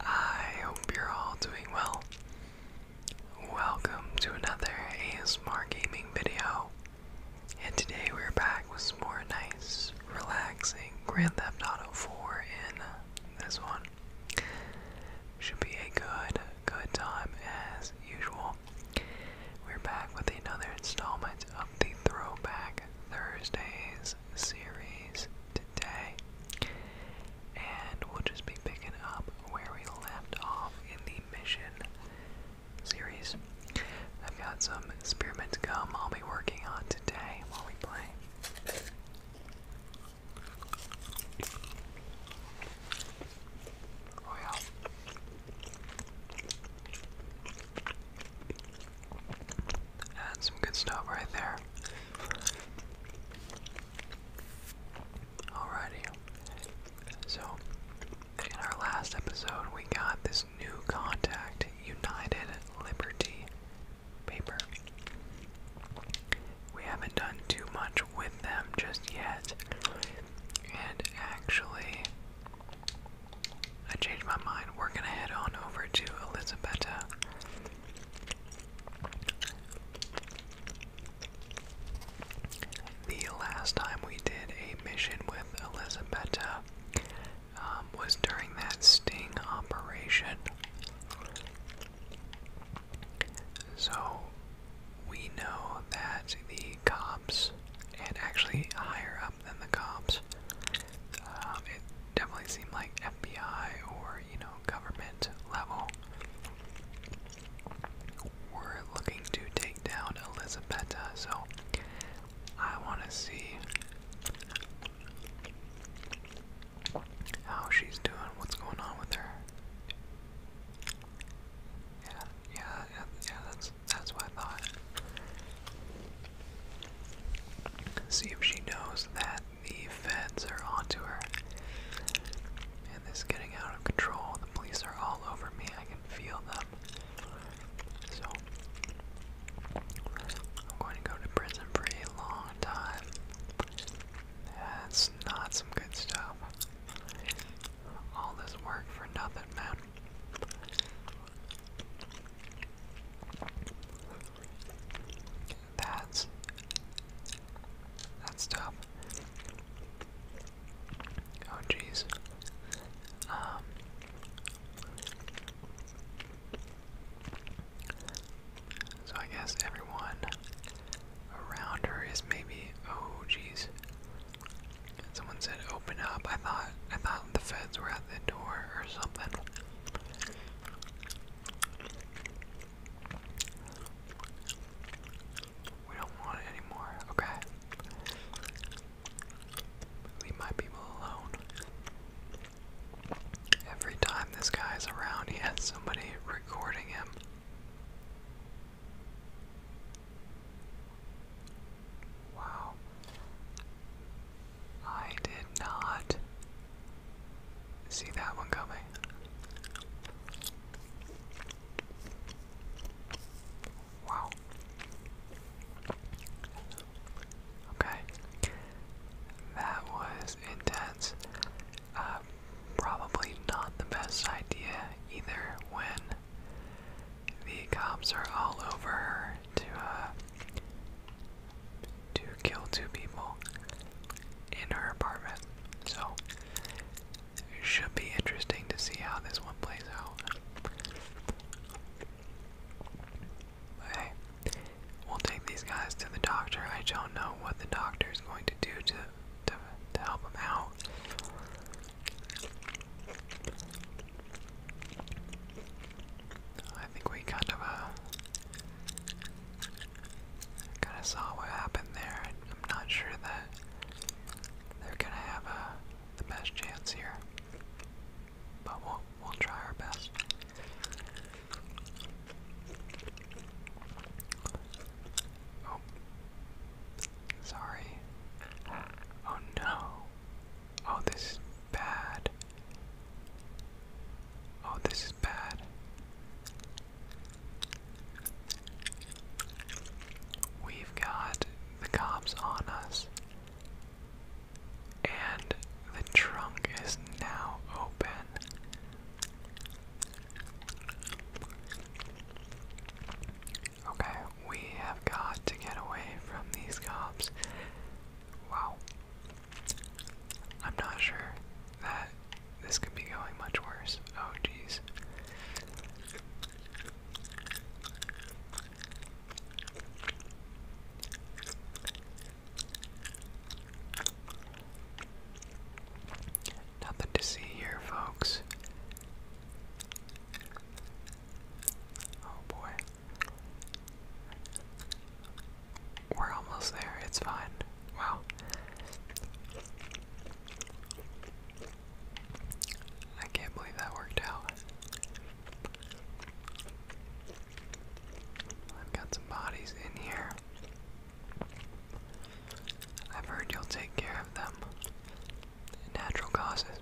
I hope you're all doing well. Welcome to another ASMR gaming video. And today we're back with more nice, relaxing Grand Theft Auto 4 in this one. Should be a good, good time as usual. We're back with another installment of the Throwback Thursdays series today, and we'll just be picking up where we left off in the mission series. I've got some spearmint gum I'll be working on today while we play. Oh yeah. That's some good stuff right there. Alrighty. So, in our last episode, we got this new contact, United Liberty paper. We haven't done too much with them just yet. And actually, I changed my mind. We're gonna head on over to Elizabetta. The last time we did a mission with Elizabetta um, was during that sting operation. So we know that the cops and actually higher than the cops. Um, it definitely seemed like FBI or, you know, government level were looking to take down Elizabetta, so I want to see how she's doing, what's going on with her. Yeah, yeah, yeah, yeah that's, that's what I thought. See if she knows that the feds are onto her. And this is getting out of control. The police are all over me. I can feel them. So, I'm going to go to prison for a long time. That's not some good stuff. All this work for nothing, man. That's that's tough. Oh jeez. Um so I guess everyone around her is maybe oh jeez. Someone said open up. I thought I thought the feds were at the door or something. We don't want it anymore, okay? Leave my people alone. Every time this guy's around, he has somebody recording him. Wow. I did not see that one coming. Wow. Okay. That was intense. Um, probably not the best idea either when the cops are all over to uh, to kill two people in her apartment. So, it should be interesting to see how this one plays out. hey, we'll take these guys to the doctor. I don't know what the doctor is going to do to, to, to help them out. I think we kind of uh, kind of saw what happened there. I'm not sure that they're gonna have a uh, the best chance here, but we'll we'll try our best. Oh, sorry. Oh no. Oh, this bad. Oh, this is bad. We've got the cops on us. And the trunk is now open. Okay, we have got to get away from these cops. Wow, I'm not sure that this could be going much worse. Oh, jeez. Nothing to see here, folks. Oh boy. We're almost there, it's fine. Wow. I can't believe that worked out. I've got some bodies in here. I've heard you'll take care of them. Natural causes.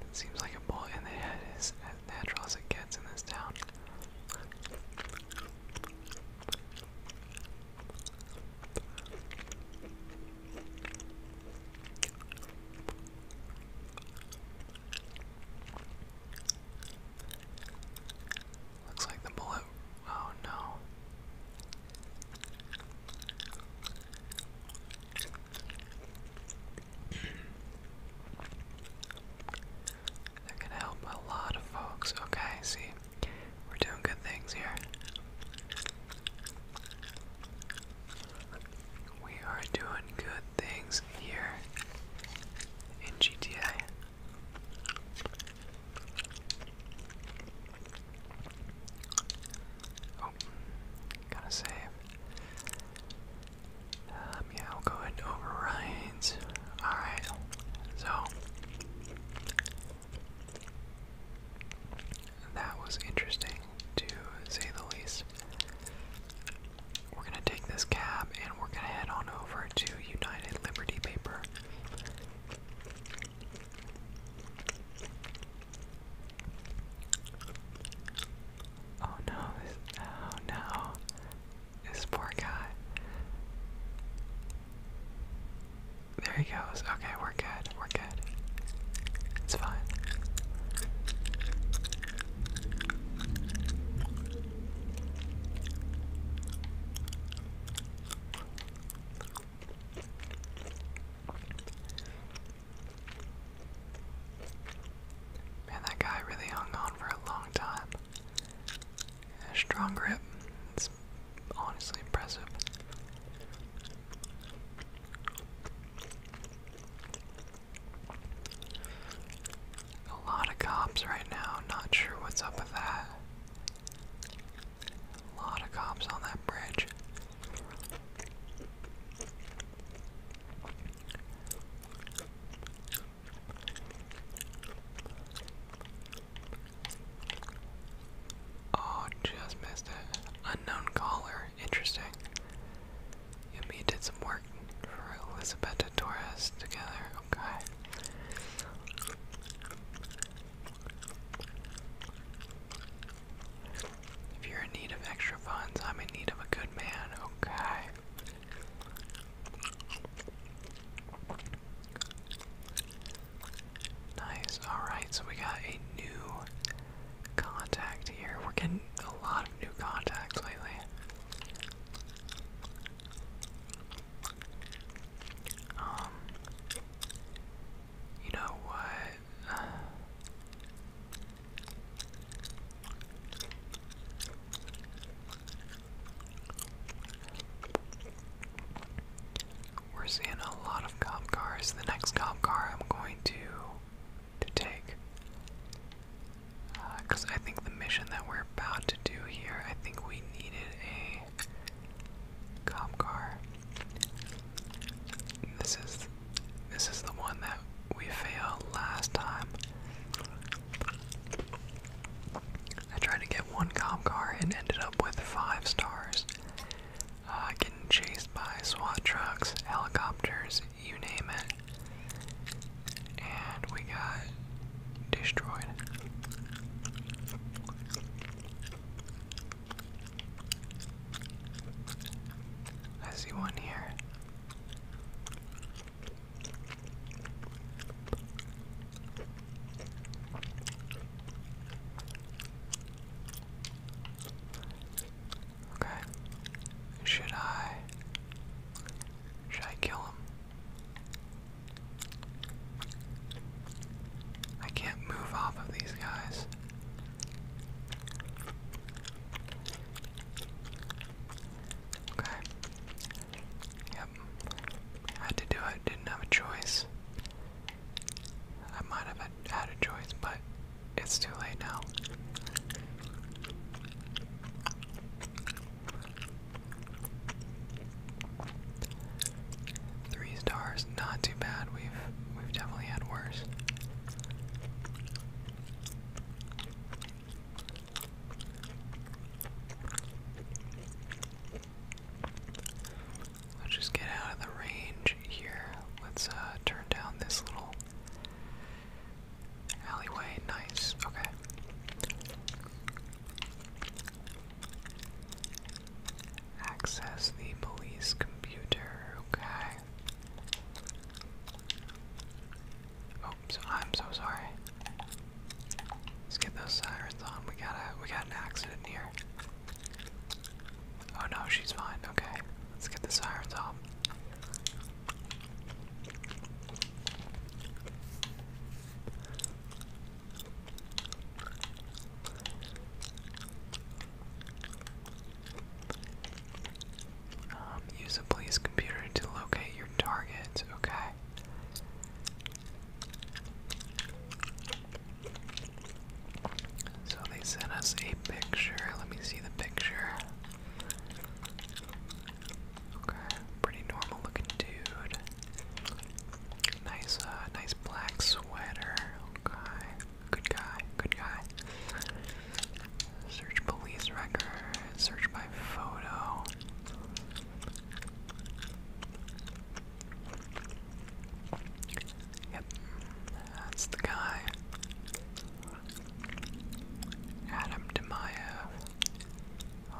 It seems like a bullet in the head is as natural as it gets in this town. Looks like the bullet. Oh no. That could help a lot of folks. Okay, see, we're doing good things here. We are doing good things here in GTA. Oh, gotta save. Um, yeah, we'll go ahead overrides. Alright, so that was interesting to say the least. We're gonna take this cab and we're gonna head on over to United Liberty Paper. Oh no, oh no, this poor guy. There he goes. Okay, we're good, we're good. It's fine. Man, that guy really hung on for a long time. Yeah, strong grip. It's honestly impressive. A lot of cops right now. Not sure what's up with that. A lot of cops on that bridge. Oh, just missed it. Unknown caller. Interesting. Yumi did some work for Elizabeth Torres together. Okay. If you're in need of extra funds, I'm in need of a good man, okay? Nice, alright, so we got a new contact here. We're getting a lot of new contacts lately. Um, you know what? We're seeing a lot of cop cars. The next cop car I'm going to to take, because uh, I think the mission that we're about to do here, I think we needed a cop car. This is this is the one that we failed last time. I tried to get one cop car and ended up with five stars. I uh, getting chased by SWAT trucks, helicopters, you name it. And we got destroyed. I see one here. Okay. Should I should I kill him? I can't move off of these guys. Okay. Yep. Had to do it. Didn't have a choice. I might have had a choice, but it's too late now. Three stars, not too bad. We've we've definitely had worse. Let's just get out of the range here. Let's uh, turn down this little alleyway. Nice. Okay. Access the police computer. Okay. Oh, sorry. I'm so sorry. Let's get those sirens on. We got a we got an accident here. Oh no, she's fine. Okay, let's get the sirens off. Um, use a police computer to locate your target, okay? So they sent us a picture. Let me see the picture. Okay, pretty normal looking dude. Nice, uh, nice black sweater. Okay. Good guy, good guy. Search police record, search by photo. Yep, that's the guy. Adam Demayev.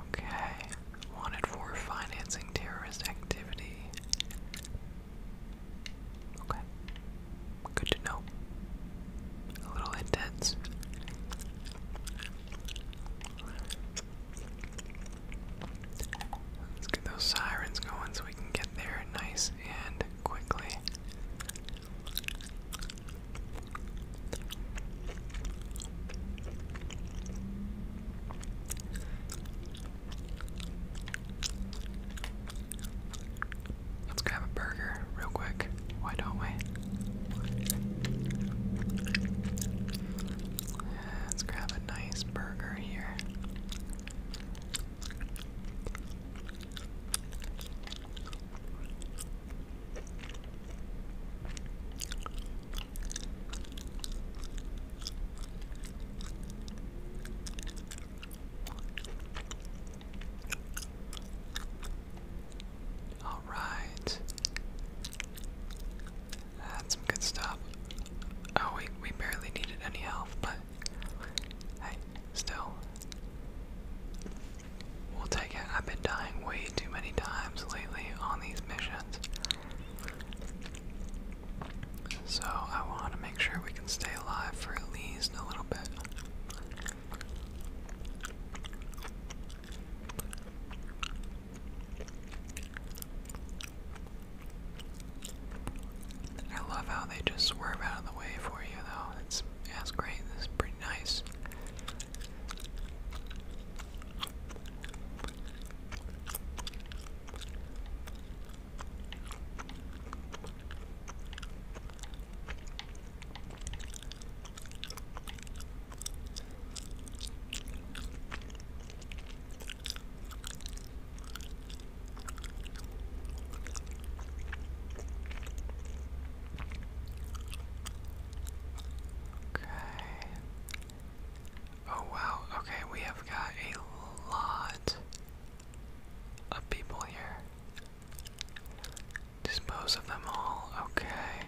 Okay, wanted for financing terrorist activity. Okay. Good to know. A little intense. Let's get those sirens going so we can get there nice and quickly. Let's grab a burger real quick. Why don't we? Let's grab a nice burger here. All right. That's good stuff. Oh, we, we barely needed any health, but hey, still. We'll take it. I've been dying way too many times lately on these missions. So I want to make sure we can stay alive for at least a little bit. I love how they just swerve out of the way for you, though. That's, that's great. That's pretty nice. Okay. Oh wow, okay, we have got a lot of people here. Dispose of them all, okay.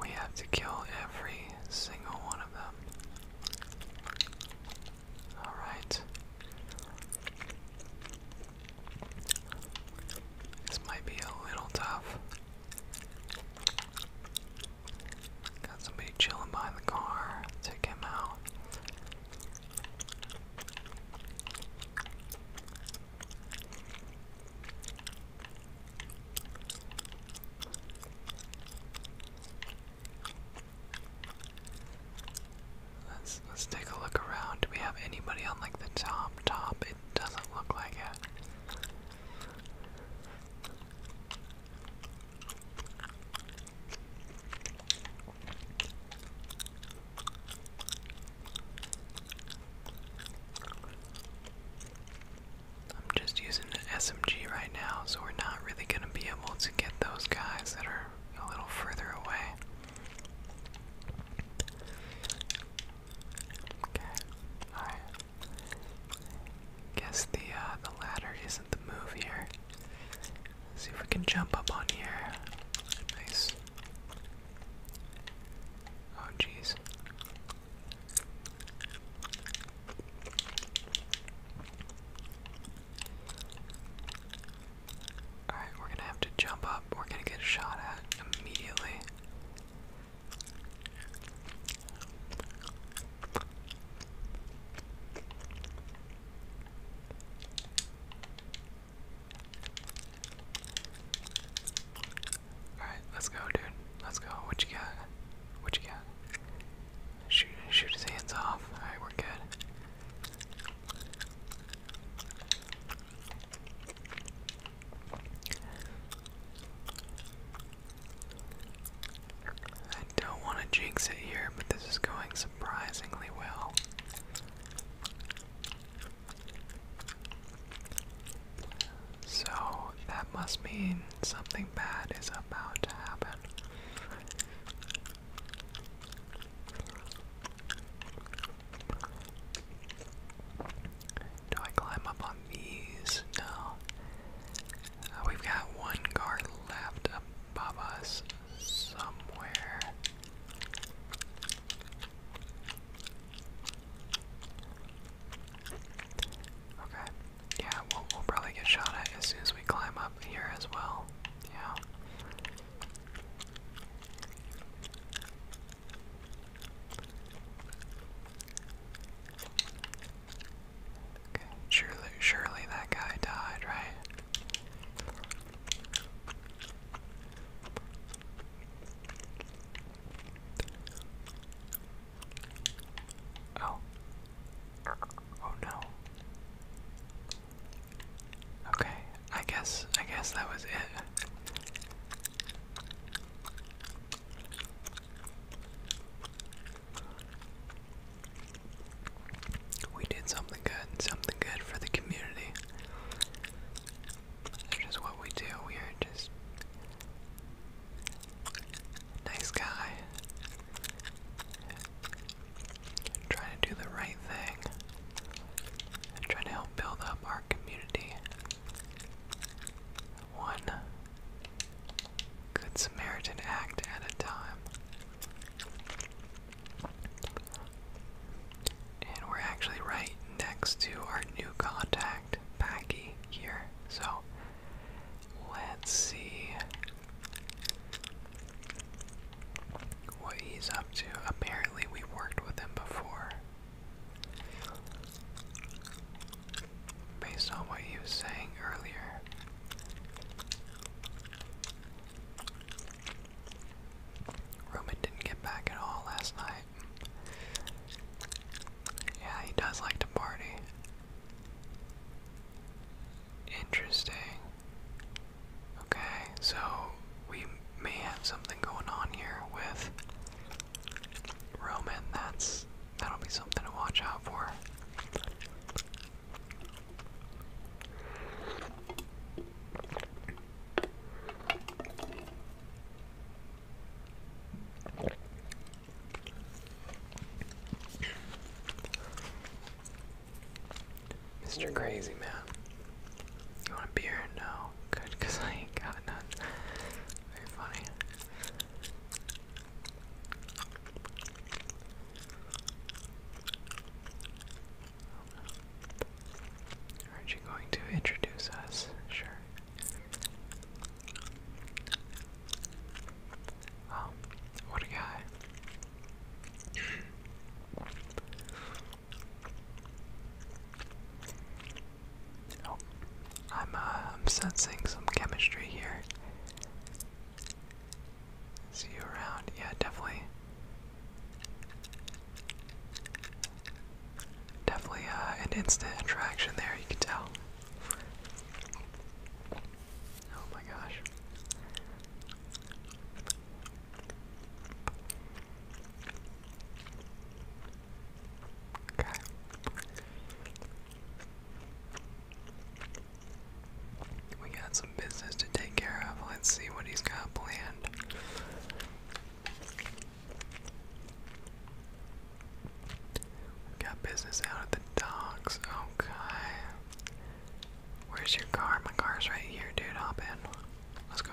We have to kill every single one of them. Alright. This might be a little tough. Got somebody chilling by the car. Take him out. Let's let's take a look around. Do we have anybody on like the top top? It doesn't look like it. I'm just using an SMG right now, so we're not really going to be able to get those guys that are a little further away. Okay, alright. Guess the uh, the ladder isn't the move here. Let's see if we can jump up on here. Nice. Oh jeez. Alright, we're gonna have to jump up. We're gonna get shot at immediately. Alright, let's go, dude. Let's go. What you got? What you got? Shoot, shoot his hands off. Alright, we're good. I don't want to jinx it here, but this is going surprisingly well. So that must mean something bad is about to happen. Do I climb up on these? No. Uh, we've got one guard left above us somewhere. Okay. Yeah, we'll probably get shot at as soon as we climb up here as well. Yeah surely, surely that guy died, right? Oh. Oh no. Okay, I guess I guess that was it. We did something good, something good for the community. That's just what we do. We are just nice guy. Trying to do the right thing. Trying to help build up our community. One Good Samaritan act at a time. And we're actually right next to our new contact, Packy, here. So let's see what he's up to. Apparently, we worked with him before based on what he was saying earlier. Roman didn't get back at all last night. Yeah, he does like to party. Interesting. Okay, so we may have something going on here with Roman. That's That'll be something to watch out for. Mr. Crazy Man, you want a beer? No, good, I ain't got none. Very funny are you going to introduce us? Sure. Oh, what a guy. Oh, uh, I'm sensing some chemistry here. See you around. Yeah, definitely. Definitely uh, an instant attraction there, you can tell. Oh my gosh. Okay. We got some business to take care of. Let's see what he's got planned. We got business out at the docks. Okay. Where's your car? My car's right here, dude. Hop in. Let's go.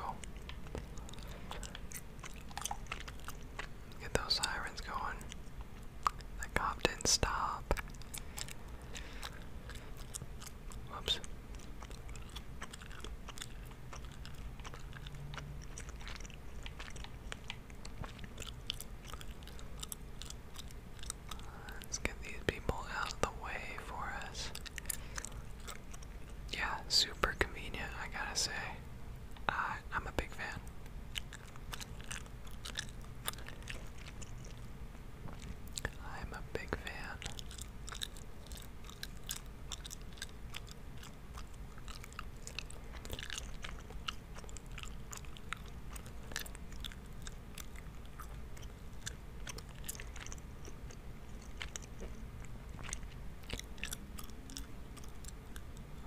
Get those sirens going. The cop didn't stop. Whoops. Let's get these people out of the way for us. Yeah, super convenient, I gotta say. I, am a big fan. I'm a big fan.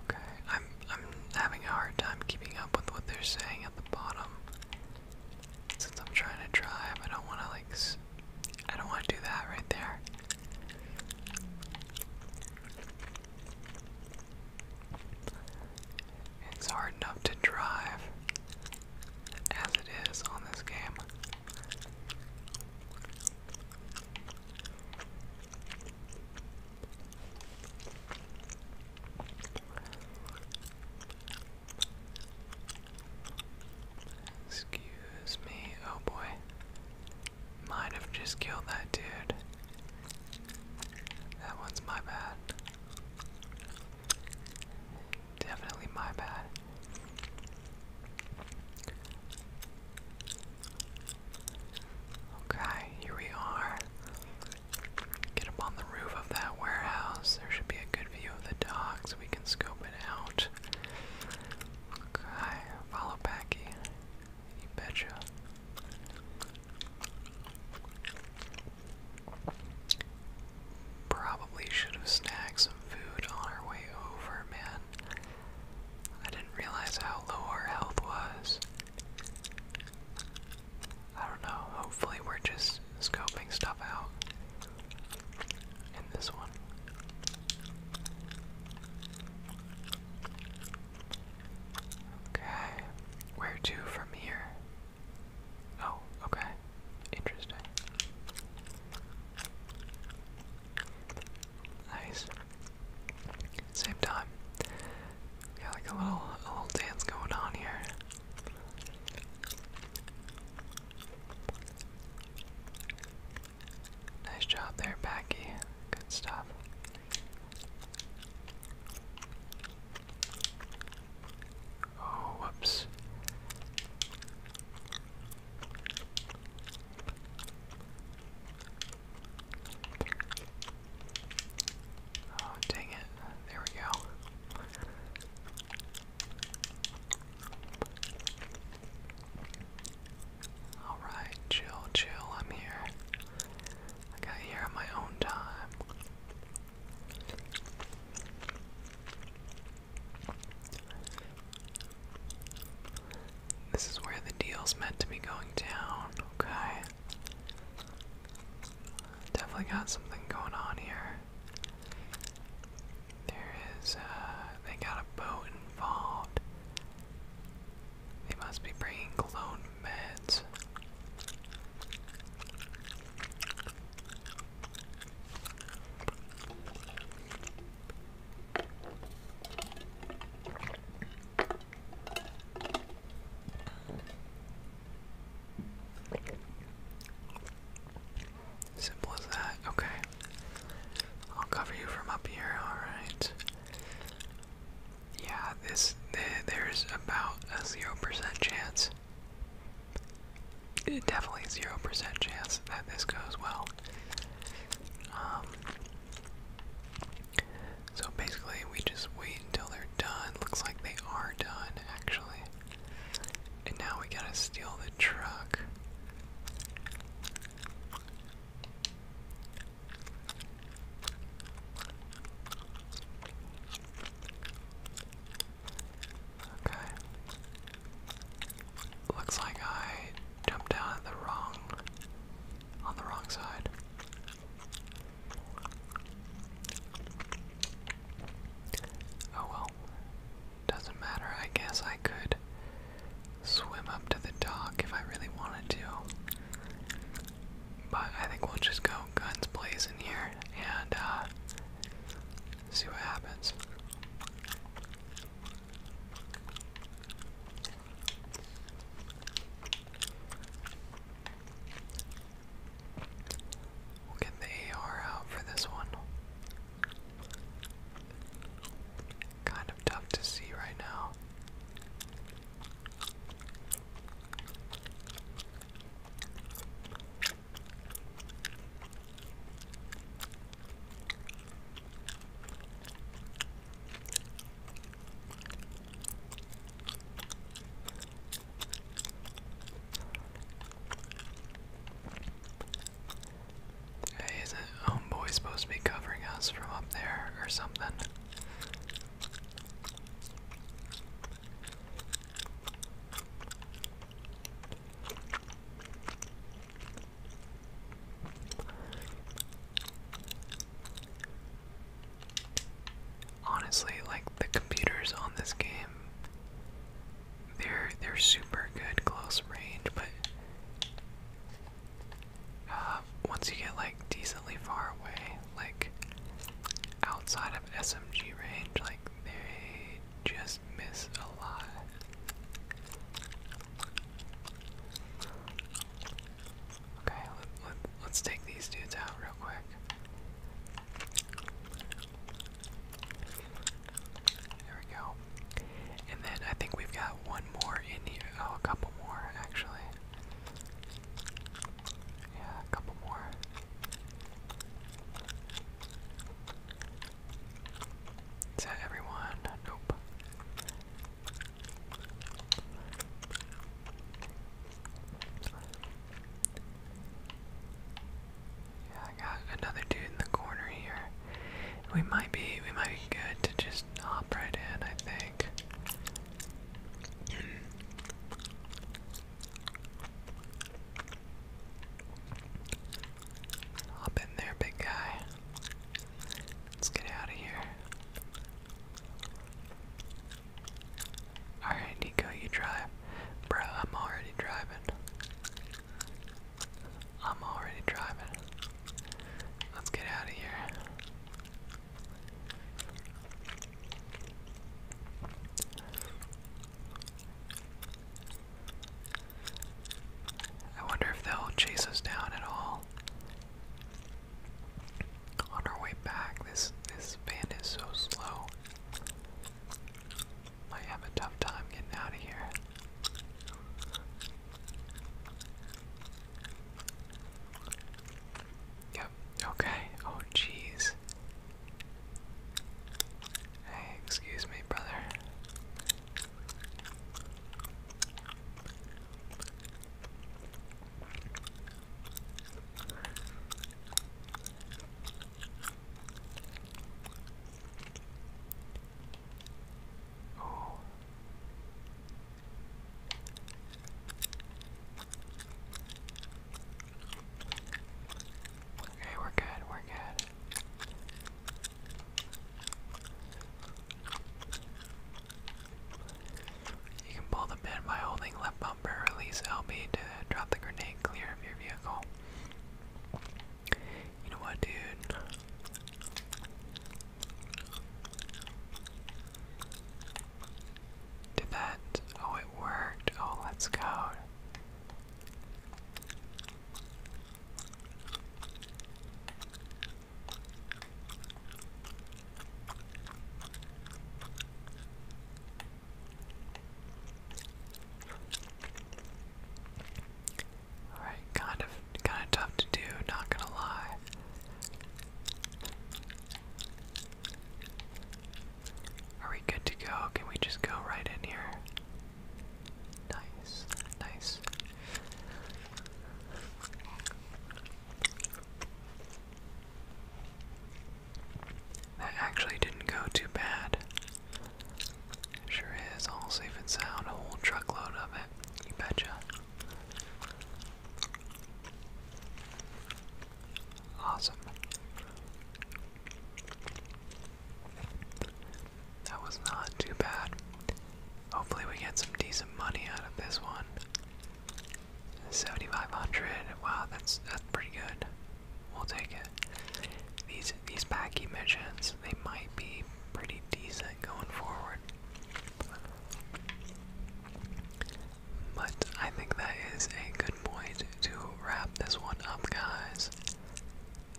Okay, I'm I'm having a hard time keeping up with what they're saying the bottom. Since I'm trying to drive, I don't want to like. S I don't want to do that right there. It's hard enough to drive as it is on this game. Excuse me. Oh boy. Might have just killed that dude. That one's my bad. Definitely my bad. Okay, here we are. Get up on the roof of that warehouse. There should be a good view of the dock we can scope it out. Okay, follow Packy. You betcha. Probably should have snagged some food on our way over, man. I didn't realize how low our health was. I don't know, hopefully we're just scoping stuff out in this one. Okay, where to from here? Oh, okay, interesting. Nice same time. got like a little, a little dance going on here. Nice job there, Packy. Good stuff. Oh, whoops. Oh, dang it. There we go. Alright, chill, chill. I'm here. I got here on my own time. This is where the deal's meant to be going down, okay? Definitely got something going on here. There is, uh, they got a boat involved. They must be bringing clone meds. Simple as that. Okay. I'll cover you from up here. All right. Yeah, this there's about a zero percent chance. definitely zero percent chance that this goes well. Um. So basically, we just wait until they're done. Looks like they are done, actually. And now we gotta steal the truck. Okay. Looks like I jumped out at the wrong on the wrong side. Oh well. Doesn't matter. I guess I could swim up to the dock if I really wanted to. But I think we'll just go guns blazing here and uh, see what happens. We'll get the AR out for this one. Kind of tough to see right now. Hey, isn't homeboy supposed to be covering us from up there or something? Honestly, like the computers on this game, they're they're super good close range, but uh, once you get like decently far away, like outside of SMG range, like they just miss a lot. Okay, let, let, let's take these dudes out real quick. There we go. And then I think we've got one more in here. Oh, a couple more actually. Yeah, a couple more. Is everyone? Nope. Yeah, I got another dude in the corner here. We might be we might be good to just hop right in, I think. hop in there, big guy. Let's get out of here. Alright, Nico, you drive. Bruh, I'm already driving. I'm already driving. Let's get out of here. I wonder if they'll chase us down at all. On our way back, this this van is so slow. Might have a tough time getting out of here. Yep. Okay. Oh, jeez. Hey, excuse me, brother. Oh. Okay, we're good, we're good. You can pull the pin by holding left bumper, release LB to drop the grenade clear of your vehicle. You know what, dude? Did that? Oh, it worked. Oh, let's go. Alright, kind of kind of tough to do, not gonna lie. Are we good to go? Can we just go right in here? Nice, nice. That actually didn't go too bad. Sure is all safe and sound, a whole truckload of it, you betcha. Awesome. That was not too bad. Hopefully, we get some decent money out of this one. 7,500. Wow, that's that's pretty good. We'll take it. These these packy missions, they might be pretty decent going forward. But I think that is a good point to wrap this one up, guys.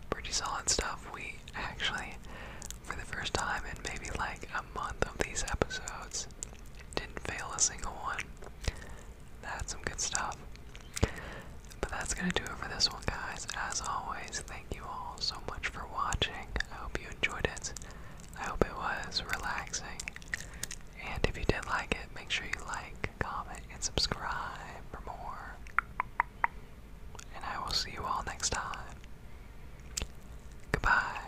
Pretty solid stuff. We actually, for the first time in maybe like a month of these episodes, didn't fail a single one. That's some good stuff. But that's going to do it for this one, guys. As always, thank you all so much for watching. I hope you enjoyed it. I hope it was relaxing. And if you did like it, make sure you like, comment, and subscribe for more. And I will see you all next time. Goodbye.